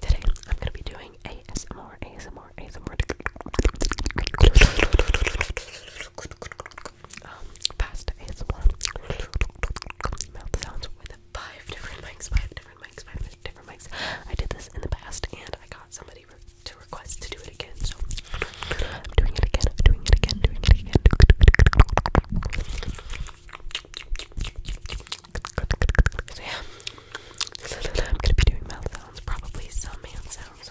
Today, I'm gonna be doing ASMR, ASMR, ASMR. Um, past ASMR. Mouth sounds with five different mics, five different mics, five different mics. I did this in the past, and I got somebody to request to do it again. So I'm doing it again. I'm doing it again. Doing it again. Doing it again. So yeah, I'm gonna be doing mouth sounds, probably some hand sounds.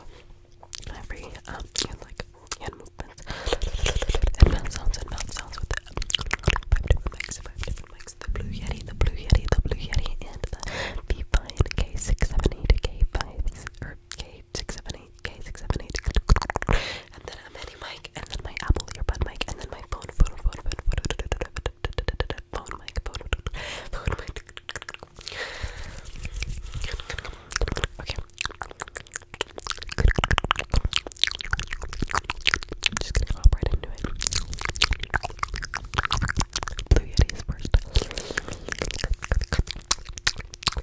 Every um, like hand movements and sounds and mouth sounds with five different mics, five different mics. The Blue Yeti, the Blue Yeti, the Blue Yeti, and the V5 K678 K5 or K678 K678, and then a mini mic, and then my Apple earbud mic, and then my phone, phone, phone, phone, phone, phone mic, phone, phone mic. Okay. just gonna hop right into it. Blue Yeti first.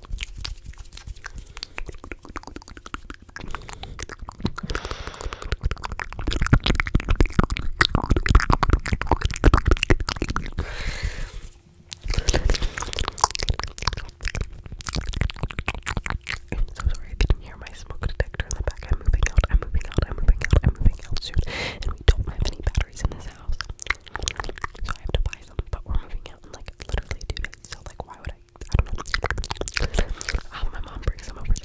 I'm so sorry if you didn't hear my smoke detector in the back. I'm moving out, I'm moving out, I'm moving out, I'm moving out soon. And we don't have any batteries in this house. So I have to buy but we're moving out in like literally two days, so like why would I? I don't know. have my mom bring some over there.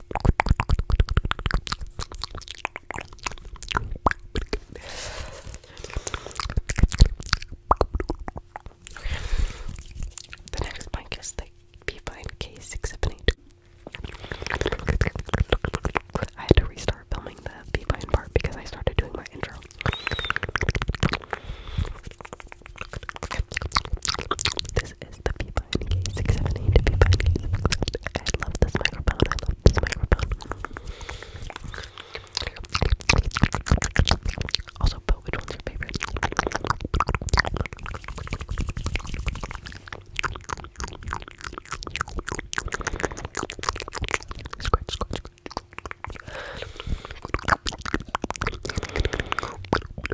Okay. The next mic is the P5 K6782. I had to restart filming the P5 part because I started doing my intro. This the P5K 678 P5K. I love this microphone. I love this microphone. Also, vote which one's your favorite. Scratch, scratch,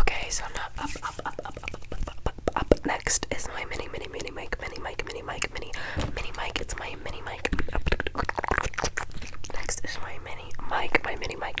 Okay, so Next is my mini, mini, mini mic, mini mic, mini mic, mini, mini mic. It's my mini mic. Next is my mini mic, my mini mic.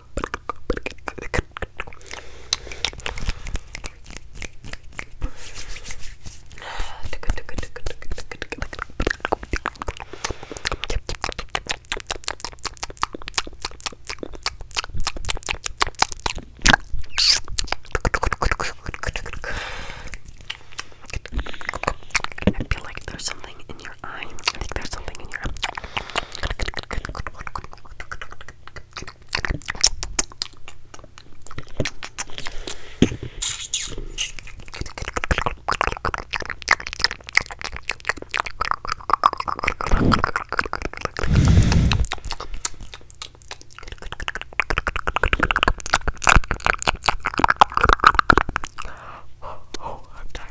I feel like there's some something in your eye. I think there's something in your eye. Oh, I'm tired.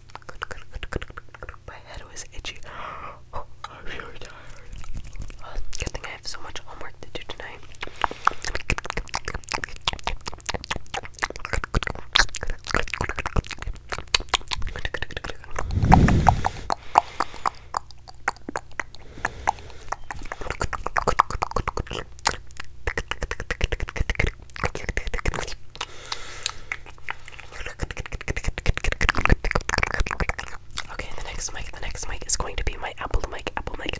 My head was itchy. Oh, I'm so tired. Uh, good thing I have so much homework to do tonight. Okay, the next mic, the next mic is going to be my Apple mic, Apple mic.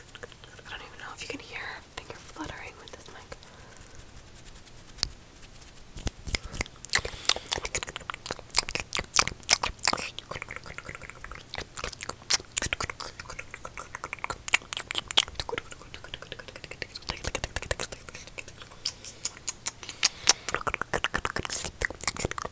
I don't even know if you can hear Think you're fluttering with this mic.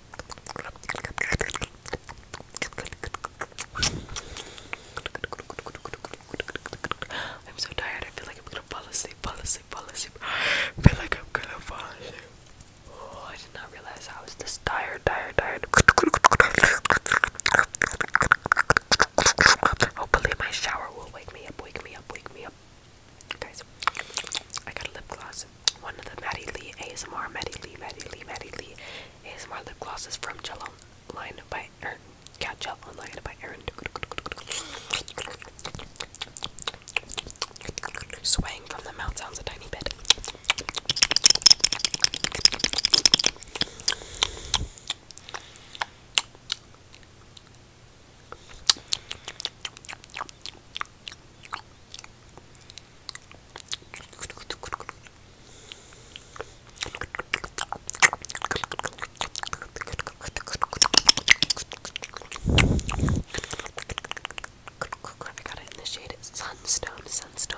I'm so tired. I feel like I'm gonna fall asleep, fall asleep, fall asleep. I feel like I'm gonna fall asleep. Oh, I did not realize I was this tired, tired, tired. Hopefully, my shower will wake me up, wake me up, wake me up. Guys, I got a lip gloss. One of the Maddie Lee ASMR, Maddie Lee, Maddie Lee, Maddie Lee ASMR lip glosses from Gel Online by Erin. Yeah, Gel by Erin. Swaying from the mouth sounds a tiny bit. I got it in the shade Sunstone, Sunstone.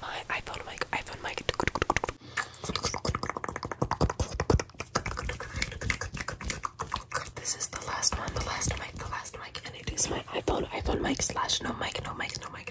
my iPhone mic, iPhone mic. This is the last one, the last mic, the last mic, and it is my iPhone, iPhone mic slash no mic, no mic, no mic,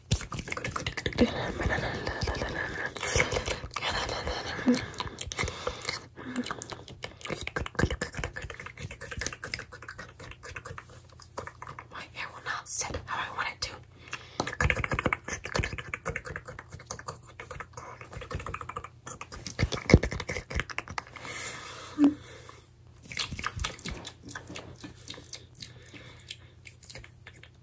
My hair will not sit how I want it to. I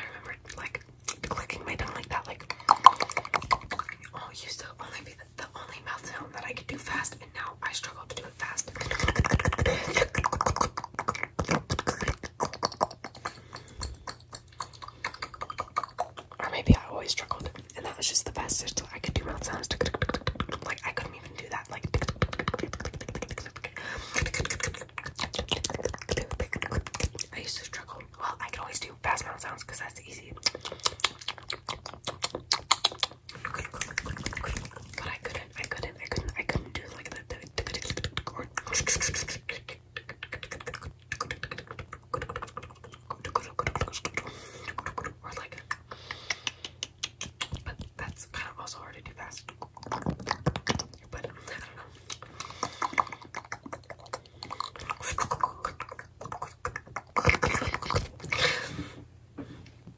remember like clicking my tongue like that, like oh, it used to only be the, the only mouth sound that I could do fast, and now I struggle to do it fast. Or maybe I always struggled, and that was just the best. I could do mouth sounds. Like I couldn't even do that. Like. I used to struggle. Well, I could always do fast mouth sounds because that's easy. But I couldn't, I couldn't, I couldn't, I couldn't do like the or like but that's kind of also hard to do fast but I don't know